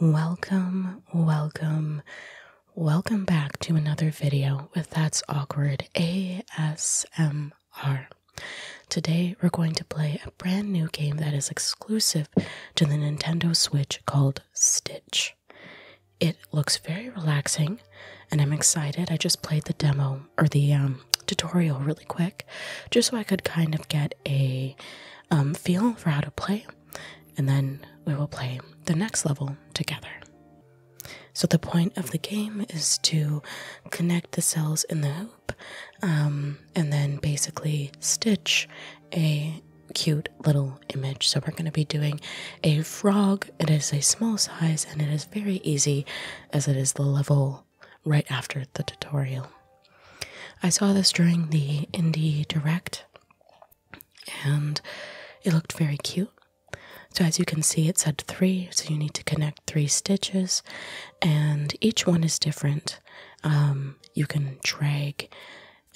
Welcome, welcome, welcome back to another video with That's Awkward ASMR. Today we're going to play a brand new game that is exclusive to the Nintendo Switch called Stitch. It looks very relaxing and I'm excited. I just played the demo or the um, tutorial really quick just so I could kind of get a um, feel for how to play and then we will play the next level together. So, the point of the game is to connect the cells in the hoop um, and then basically stitch a cute little image. So, we're going to be doing a frog. It is a small size and it is very easy as it is the level right after the tutorial. I saw this during the Indie Direct and it looked very cute. So, as you can see, it said three, so you need to connect three stitches, and each one is different. Um, you can drag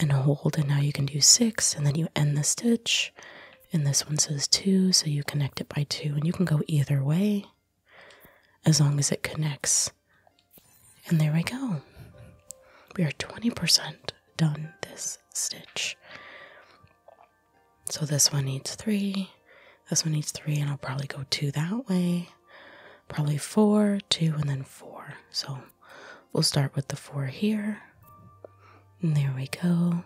and hold, and now you can do six, and then you end the stitch. And this one says two, so you connect it by two, and you can go either way as long as it connects and there we go. We are 20% done this stitch. So this one needs three, this one needs three, and I'll probably go two that way, probably four, two, and then four. So we'll start with the four here. And there we go.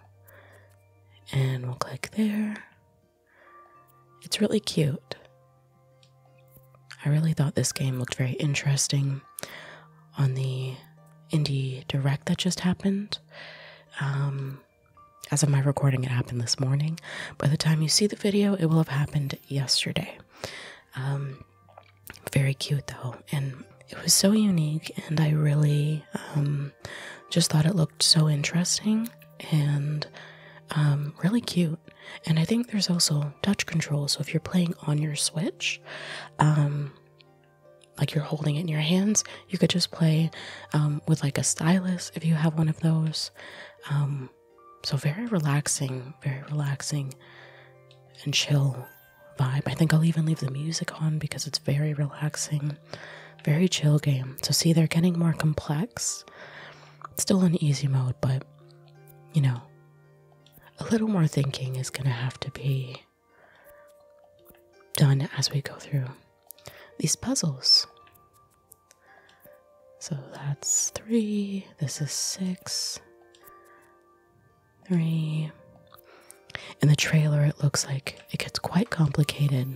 And we'll click there. It's really cute. I really thought this game looked very interesting on the indie direct that just happened. Um, as of my recording, it happened this morning. By the time you see the video, it will have happened yesterday. Um, very cute though, and it was so unique, and I really um, just thought it looked so interesting and really cute. And I think there's also touch control. So if you're playing on your Switch, um, like you're holding it in your hands, you could just play um, with like a stylus if you have one of those. Um, so very relaxing, very relaxing and chill vibe. I think I'll even leave the music on because it's very relaxing, very chill game. So see, they're getting more complex. still in easy mode, but you know, a little more thinking is going to have to be done as we go through these puzzles. So that's three, this is six, three. In the trailer, it looks like it gets quite complicated,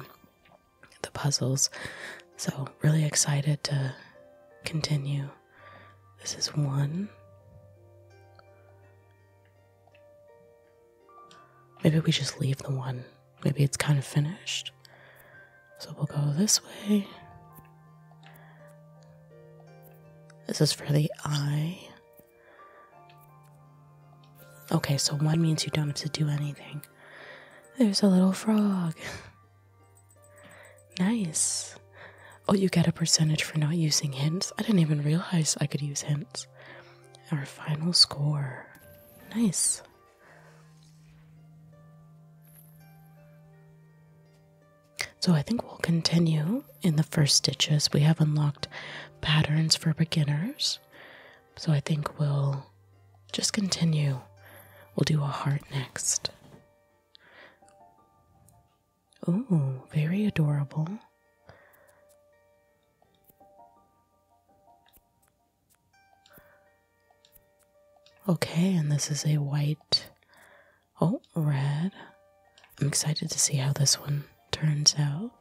the puzzles. So, really excited to continue this is one. Maybe we just leave the one. Maybe it's kind of finished. So we'll go this way. This is for the eye. Okay, so one means you don't have to do anything. There's a little frog. Nice. Oh, you get a percentage for not using hints? I didn't even realize I could use hints. Our final score. Nice. So I think we'll continue in the first stitches. We have unlocked patterns for beginners. So I think we'll just continue. We'll do a heart next. Oh, very adorable. Okay, and this is a white. Oh, red. I'm excited to see how this one turns out.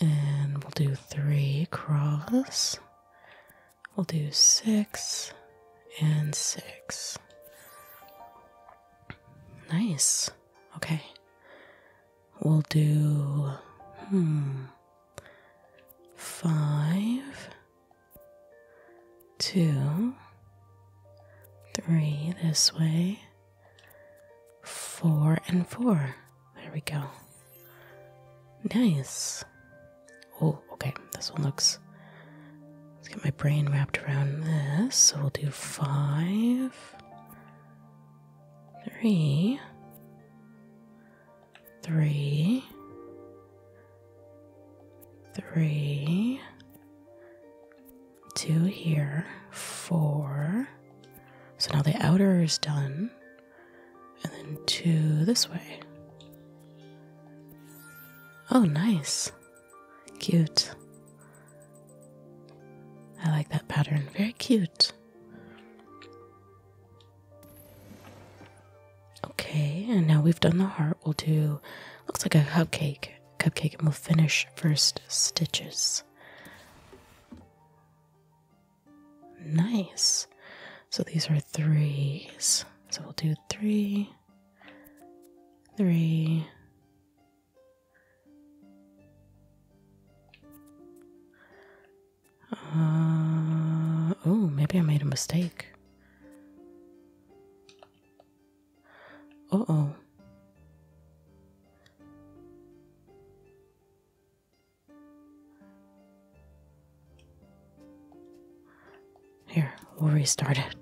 And we'll do three cross We'll do six and six. Nice. Okay. We'll do hmm, five, two, three this way, four and four. There we go. Nice. Oh, okay. This one looks. Let's get my brain wrapped around this. So we'll do five, three, three, three, two here, four. So now the outer is done, and then two this way. Oh, nice. Cute. I like that pattern. Very cute. Okay, and now we've done the heart. We'll do looks like a cupcake. Cupcake and we'll finish first stitches. Nice. So these are threes. So we'll do three, three, uh, oh, maybe I made a mistake. Uh oh. Here, we'll restart it.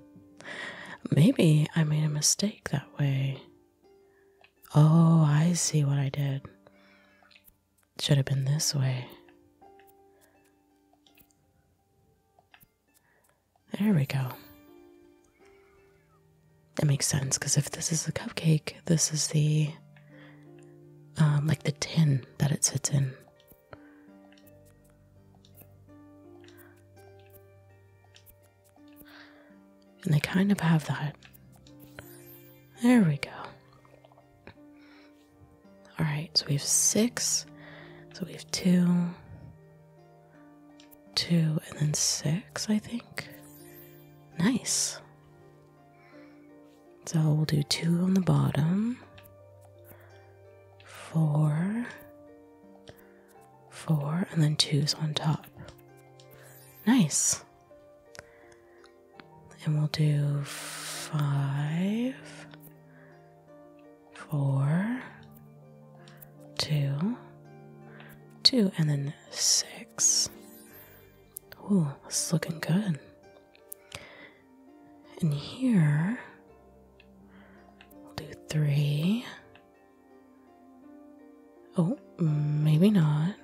Maybe I made a mistake that way. Oh, I see what I did. Should have been this way. There we go. That makes sense because if this is the cupcake, this is the um, like the tin that it sits in. And they kind of have that. There we go. All right, so we have six. So we have two, two, and then six, I think. Nice. So we'll do two on the bottom, four, four, and then twos on top. Nice. And we'll do five, four, two, two, and then six. this is looking good. And here, we'll do three. Oh, maybe not.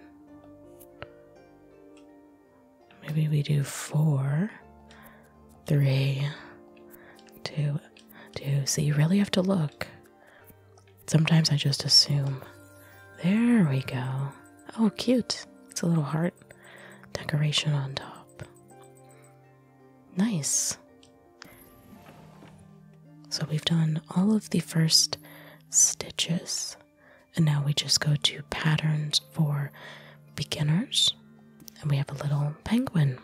Maybe we do four, three, two, two. So you really have to look. Sometimes I just assume. There we go. Oh, cute. It's a little heart decoration on top. Nice. So we've done all of the first stitches, and now we just go to patterns for beginners, and we have a little penguin.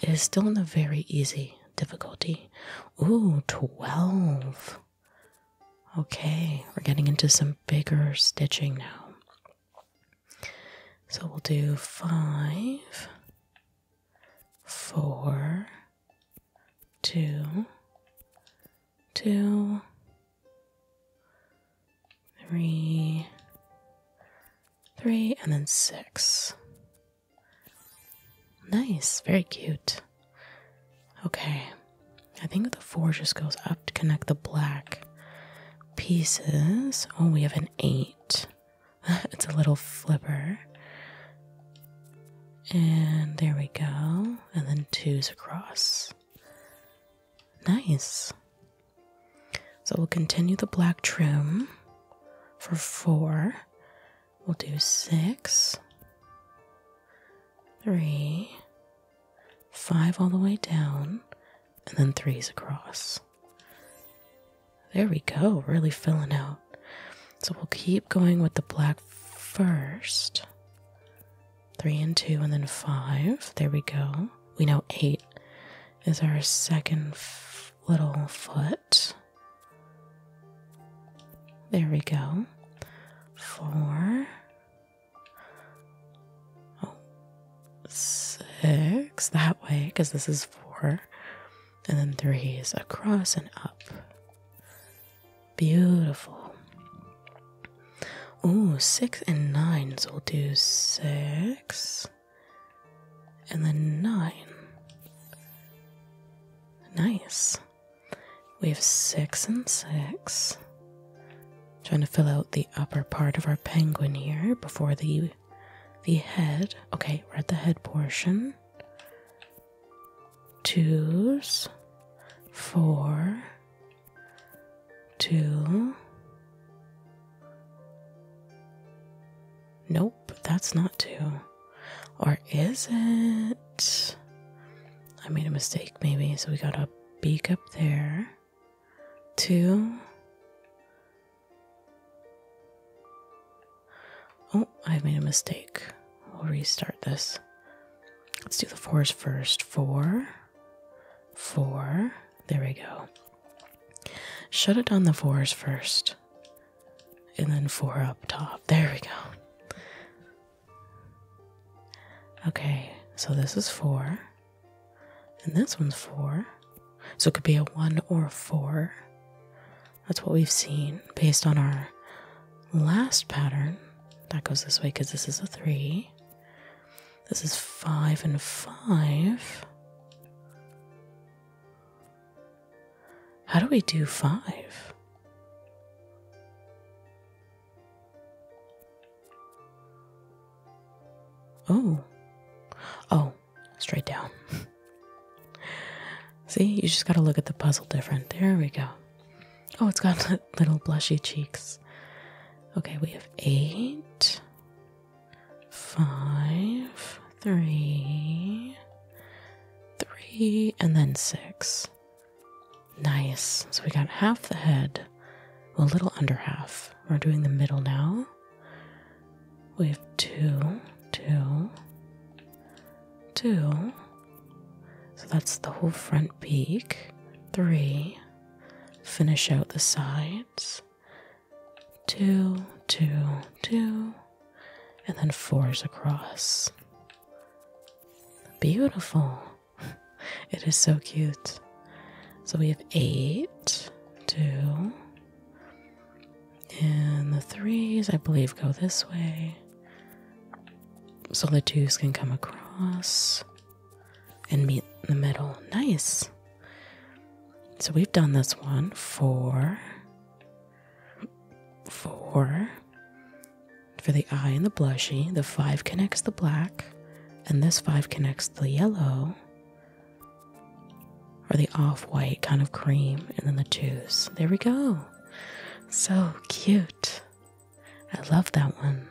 It is still in the very easy difficulty. Ooh, 12. Okay, we're getting into some bigger stitching now. So we'll do five, four, two, two, three, three, and then six. Nice, very cute. Okay, I think the four just goes up to connect the black pieces. Oh, we have an eight. it's a little flipper. And there we go. And then twos across. Nice. So we'll continue the black trim for four. We'll do six, three, five all the way down and then threes across. There we go, really filling out. So we'll keep going with the black first. Three and two, and then five. There we go. We know eight is our second little foot. There we go. Four. Oh, six that way because this is four, and then three is across and up. Beautiful. Oh, six and 9s we'll do six and then nine. Nice. We have six and six trying to fill out the upper part of our penguin here before the the head. Okay, we're at the head portion. Twos, four, two. Nope, that's not two. Or is it? I made a mistake, maybe. So we got a beak up there two. Oh, I've made a mistake. We'll restart this. Let's do the fours first. Four, four. There we go. Shut it down. the fours first. And then four up top. There we go. Okay, so this is four. And this one's four. So it could be a one or a four. That's what we've seen based on our last pattern. That goes this way because this is a three. This is five and five. How do we do five? Oh. Oh, straight down. See, you just gotta look at the puzzle different. There we go. Oh, it's got little blushy cheeks. Okay, we have eight, five, three, three, and then six. Nice. So we got half the head, well, a little under half. We're doing the middle now. We have two, two, two. So that's the whole front peak. Three. Finish out the sides. Two, two, two. And then fours across. Beautiful. It is so cute. So we have eight, two, and the threes, I believe, go this way. So the twos can come across and meet in the middle. Nice. So we've done this one. Four, four. For the eye and the blushy, the five connects the black, and this five connects the yellow or the off white kind of cream, and then the juice. There we go. So cute. I love that one.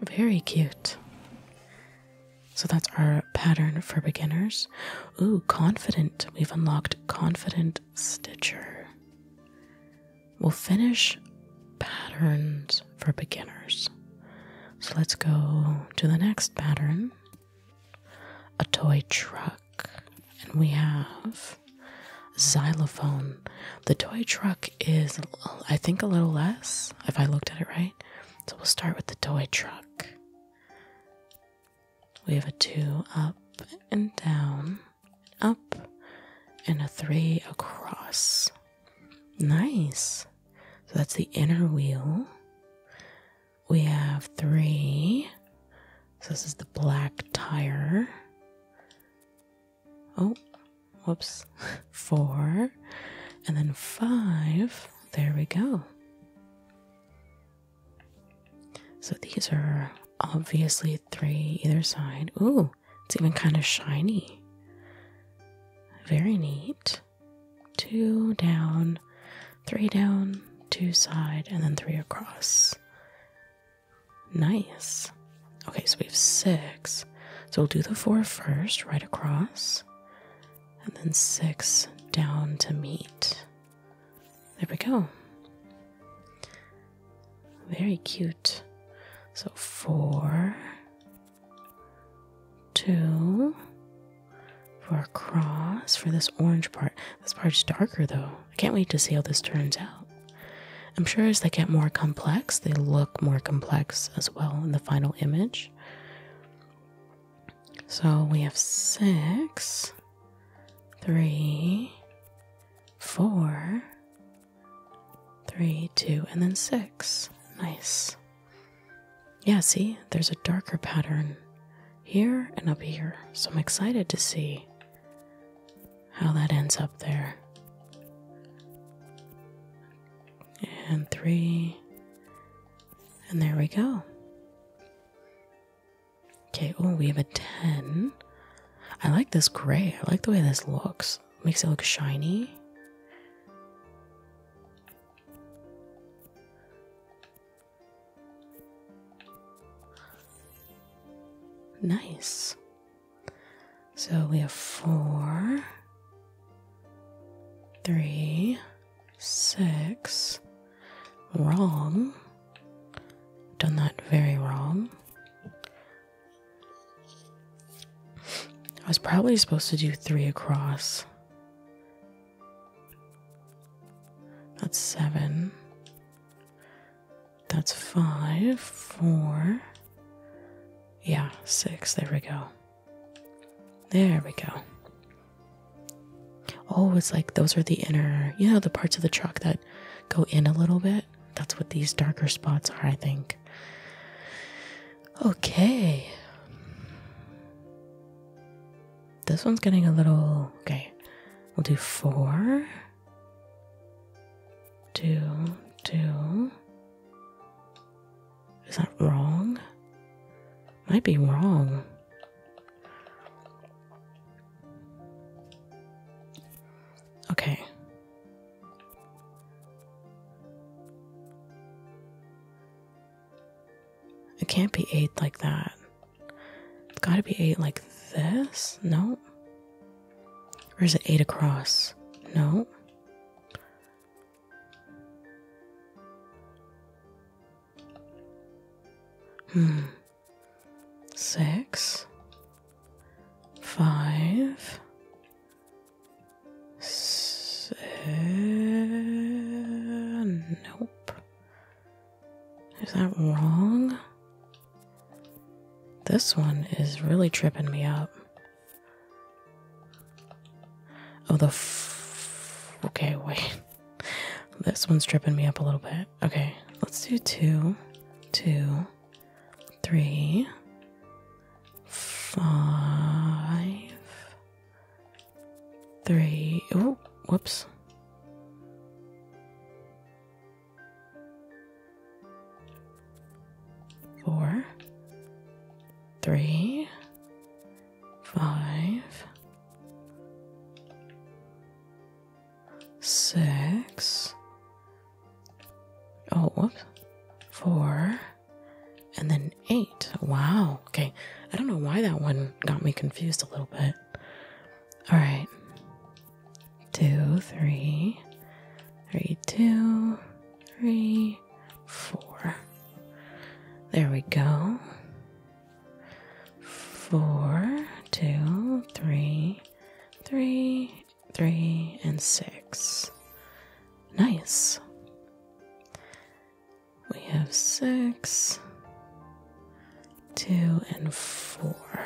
Very cute. So that's our pattern for beginners. Ooh, confident. We've unlocked confident stitcher we'll finish patterns for beginners. So let's go to the next pattern a toy truck. And we have xylophone. The toy truck is, I think, a little less, if I looked at it right. So we'll start with the toy truck. We have a two up and down, up, and a three across. Nice. So that's the inner wheel. We have three. So this is the black tire. Oh, whoops. Four. And then five. There we go. So these are obviously three either side. Ooh, it's even kind of shiny. Very neat. Two down, three down, two side, and then three across. Nice. Okay, so we have six. So we'll do the four first, right across, and then six down to meet. There we go. Very cute. So four, two for a cross for this orange part. This part's darker though. I can't wait to see how this turns out. I'm sure as they get more complex, they look more complex as well in the final image. So we have six, three, four, Three, two, and then six. Nice. Yeah, see, there's a darker pattern here and up here. So I'm excited to see how that ends up there. And three. And there we go. Okay, oh, we have a 10. I like this gray. I like the way this looks makes it look shiny. Nice. So we have four, three, six. Wrong. Done that very wrong. I was probably supposed to do three across. That's seven. That's five, four. Yeah, six. There we go. There we go. Oh, it's like those are the inner, you know, the parts of the truck that go in a little bit. That's what these darker spots are, I think. Okay. This one's getting a little. Okay. We'll do four, two, two. Is that wrong? Might be wrong. Okay. It can't be eight like that. It's gotta be eight like this? No. Or is it eight across? No. Hmm. Six, five, nope. Is that wrong? This one is really tripping me up. Oh, the. okay, wait. This one's tripping me up a little bit. Okay, let's do two, two, three, five, three. Oh, whoops. Four, three, five, six. Oh, whoops. Four, and then eight. Wow. Okay. I don't know why that one got me confused a little bit. All right. Two, three, three, two, three, four. There we go. Four, two, three, three, three, and six. Nice. We have six, two, and four.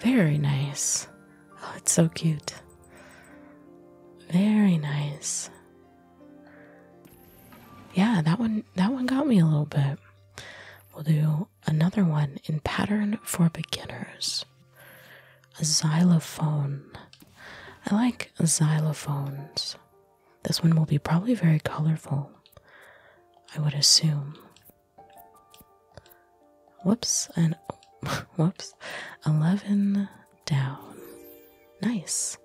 Very nice. Oh, it's so cute. Very nice. Yeah, that one that one got me a little bit. We'll do another one in pattern for beginners. A xylophone. I like xylophones. This one will be probably very colorful, I would assume. Whoops, and whoops. 11 down. Nice.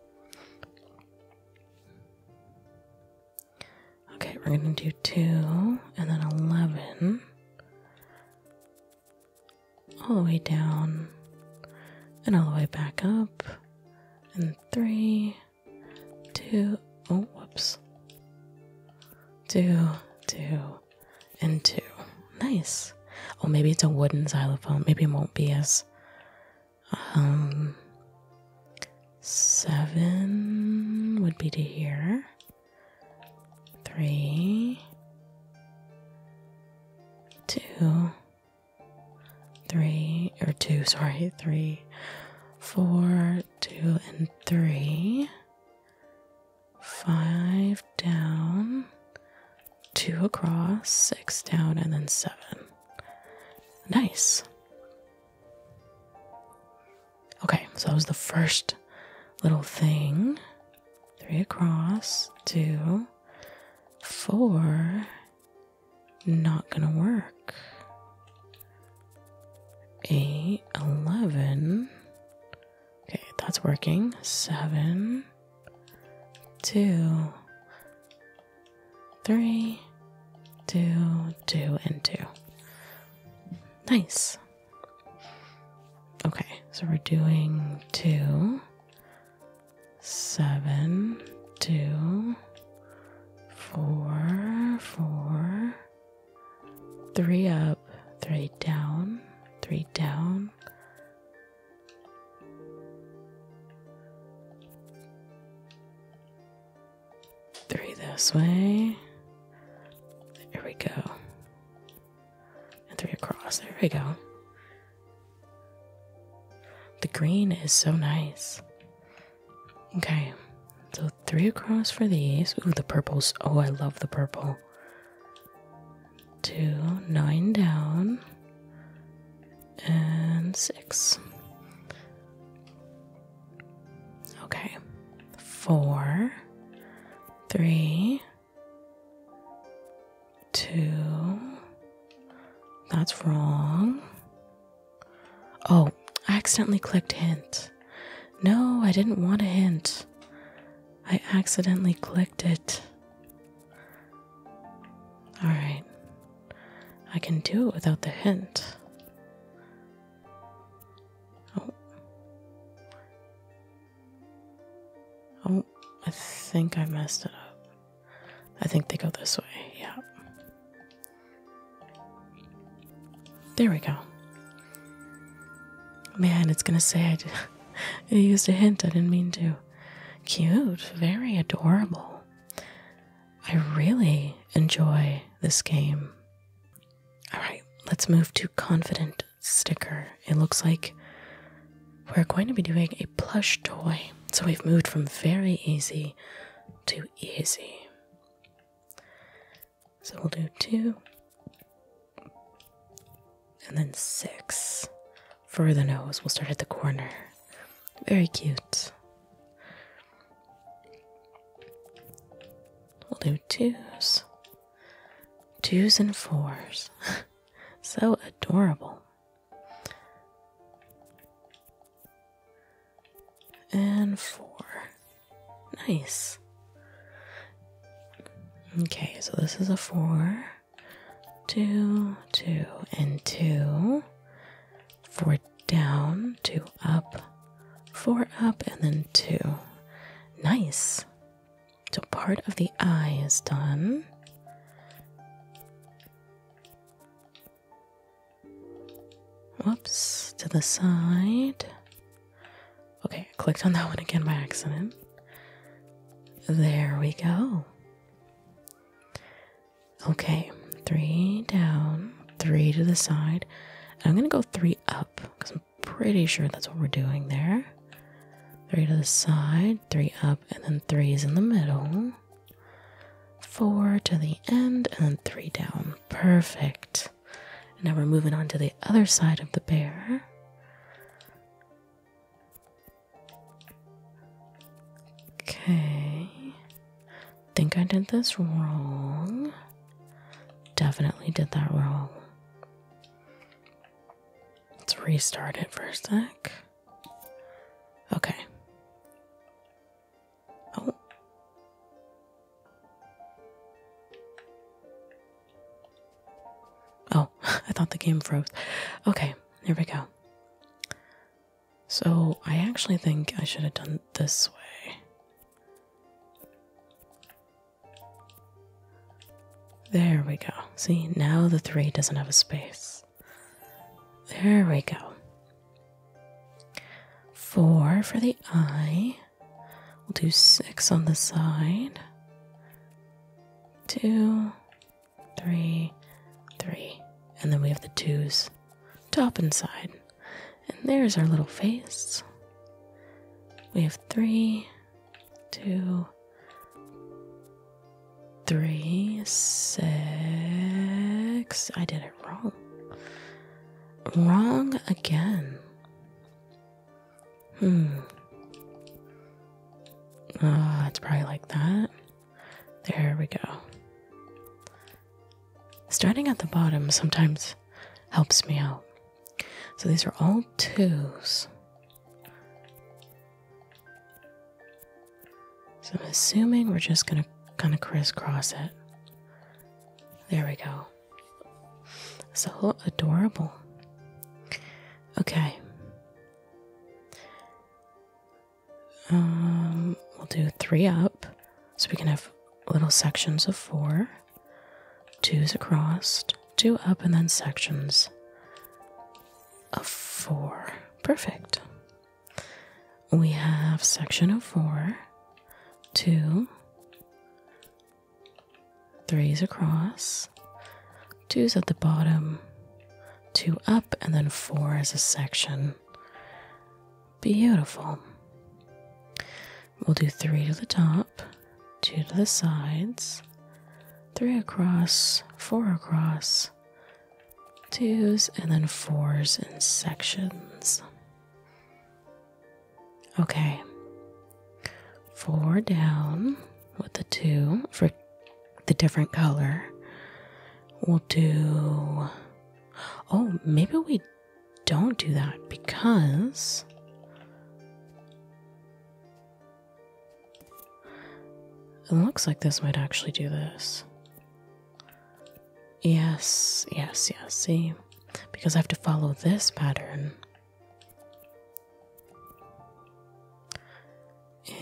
Okay, we're gonna do two and then 11 all the way down and all the way back up. And three, two, oh, whoops. Two, two, and two. Nice. Oh, maybe it's a wooden xylophone. Maybe it won't be as. Um, seven would be to here. Three, two, three, or two, sorry, three, four, two, and three, five down, two across, six down, and then seven. Nice. Okay, so that was the first little thing. Three across, two, Four, not gonna work. Eight, eleven. Okay, that's working. Seven, two, three, two, two, and two. Nice. Okay, so we're doing two, seven, two, four, four, three up, three down, three down. Three this way. There we go and three across. There we go. The green is so nice. Okay, so three across for these. Ooh, the purples. Oh, I love the purple. Two, nine down, and six. Okay, four, three, Two. That's wrong. Oh, I accidentally clicked hint. No, I didn't want a hint. I accidentally clicked it. Alright. I can do it without the hint. Oh. Oh, I think I messed it up. I think they go this way. Yeah. There we go. Man, it's gonna say I, I used a hint. I didn't mean to. Cute. Very adorable. I really enjoy this game. Alright, let's move to Confident Sticker. It looks like we're going to be doing a plush toy. So we've moved from very easy to easy. So we'll do two and then six for the nose. We'll start at the corner. Very cute. We'll do twos, twos and fours. so adorable and four. Nice. Okay, so this is a four, two, two, and two. Four down, two up, four up, and then two. Nice. So part of the eye is done. Whoops, to the side. Okay, clicked on that one again by accident. There we go. Okay, three down, three to the side. I'm gonna go three up because I'm pretty sure that's what we're doing there. Three to the side, three up, and then three's in the middle. Four to the end, and then three down. Perfect. now we're moving on to the other side of the bear. Okay. Think I did this wrong. Definitely did that wrong. Let's restart it for a sec. Okay. Oh. Oh, I thought the game froze. Okay, here we go. So, I actually think I should have done this way. There we go. See, now the three doesn't have a space. There we go. Four for the eye. We'll do six on the side. Two, three, three. And then we have the twos, top and side. And there's our little face. We have three, two, three, six. I did it wrong. Wrong again. Hmm. Ah, it's probably like that. There we go. Starting at the bottom sometimes helps me out. So these are all twos. So I'm assuming we're just gonna kind of crisscross it. There we go. So adorable. Okay. Um, we'll do three up, so we can have little sections of four, twos across, two up, and then sections a four. Perfect. We have section of four, two, threes across, two's at the bottom, two up, and then four as a section. Beautiful. We'll do three to the top, two to the sides, three across, four across, twos, and then fours in sections. Okay, four down with the two for the different color. We'll do. Oh, maybe we don't do that because it looks like this might actually do this. Yes, yes, yes, see? Because I have to follow this pattern.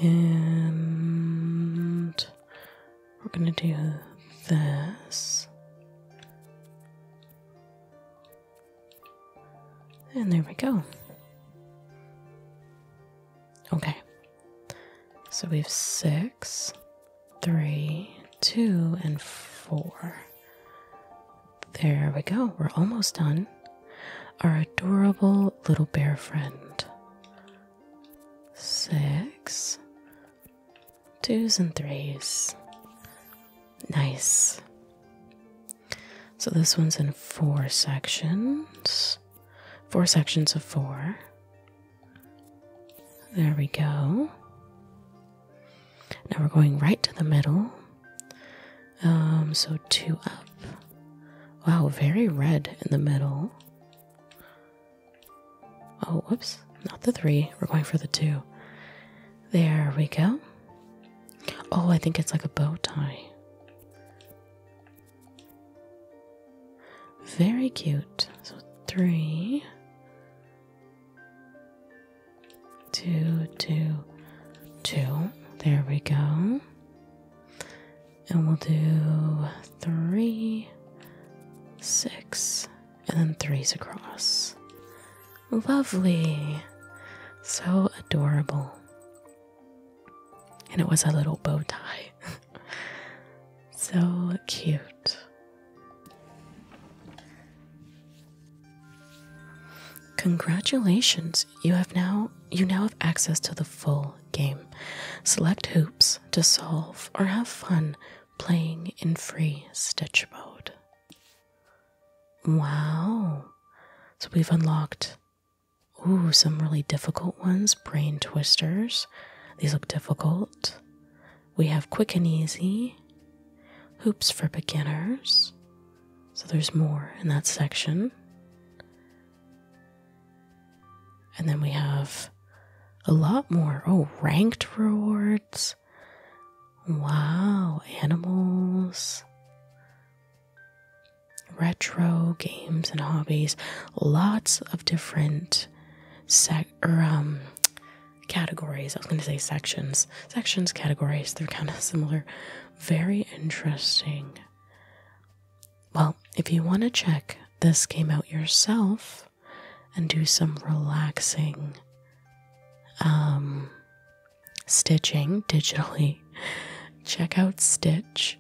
And we're gonna do this. And there we go. Okay, so we have six, three, two, and four. There we go. We're almost done. Our adorable little bear friend. Six, twos, and threes. Nice. So this one's in four sections four sections of four. There we go. Now we're going right to the middle. Um, so two up. Wow, very red in the middle. Oh, whoops, not the three. We're going for the two. There we go. Oh, I think it's like a bow tie. Very cute. So three, two, two, two. There we go. And we'll do three, six, and then threes across. Lovely. So adorable and it was a little bow tie. so cute. Congratulations, you have now you now have access to the full game. Select hoops to solve or have fun playing in free stitch mode. Wow. So we've unlocked Ooh, some really difficult ones. Brain twisters. These look difficult. We have quick and easy. Hoops for beginners. So there's more in that section. And then we have a lot more. Oh, ranked rewards. Wow, animals retro games and hobbies, lots of different um, categories. I was going to say sections, sections, categories. They're kind of similar. Very interesting. Well, if you want to check this game out yourself and do some relaxing um, stitching digitally, check out Stitch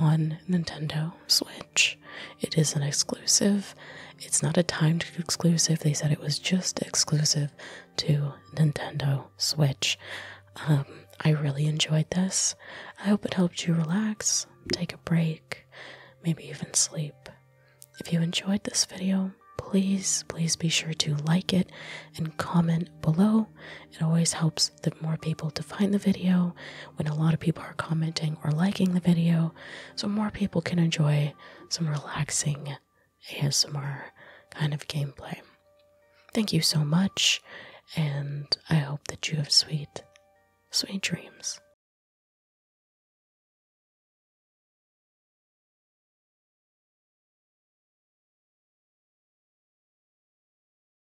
on Nintendo Switch. It is an exclusive. It's not a timed exclusive. They said it was just exclusive to Nintendo Switch. Um, I really enjoyed this. I hope it helped you relax, take a break, maybe even sleep. If you enjoyed this video, please, please be sure to like it and comment below. It always helps helps the more people to find the video when a lot of people are commenting or liking the video, so more people can enjoy some relaxing ASMR kind of gameplay. Thank you so much, and I hope that you have sweet, sweet dreams.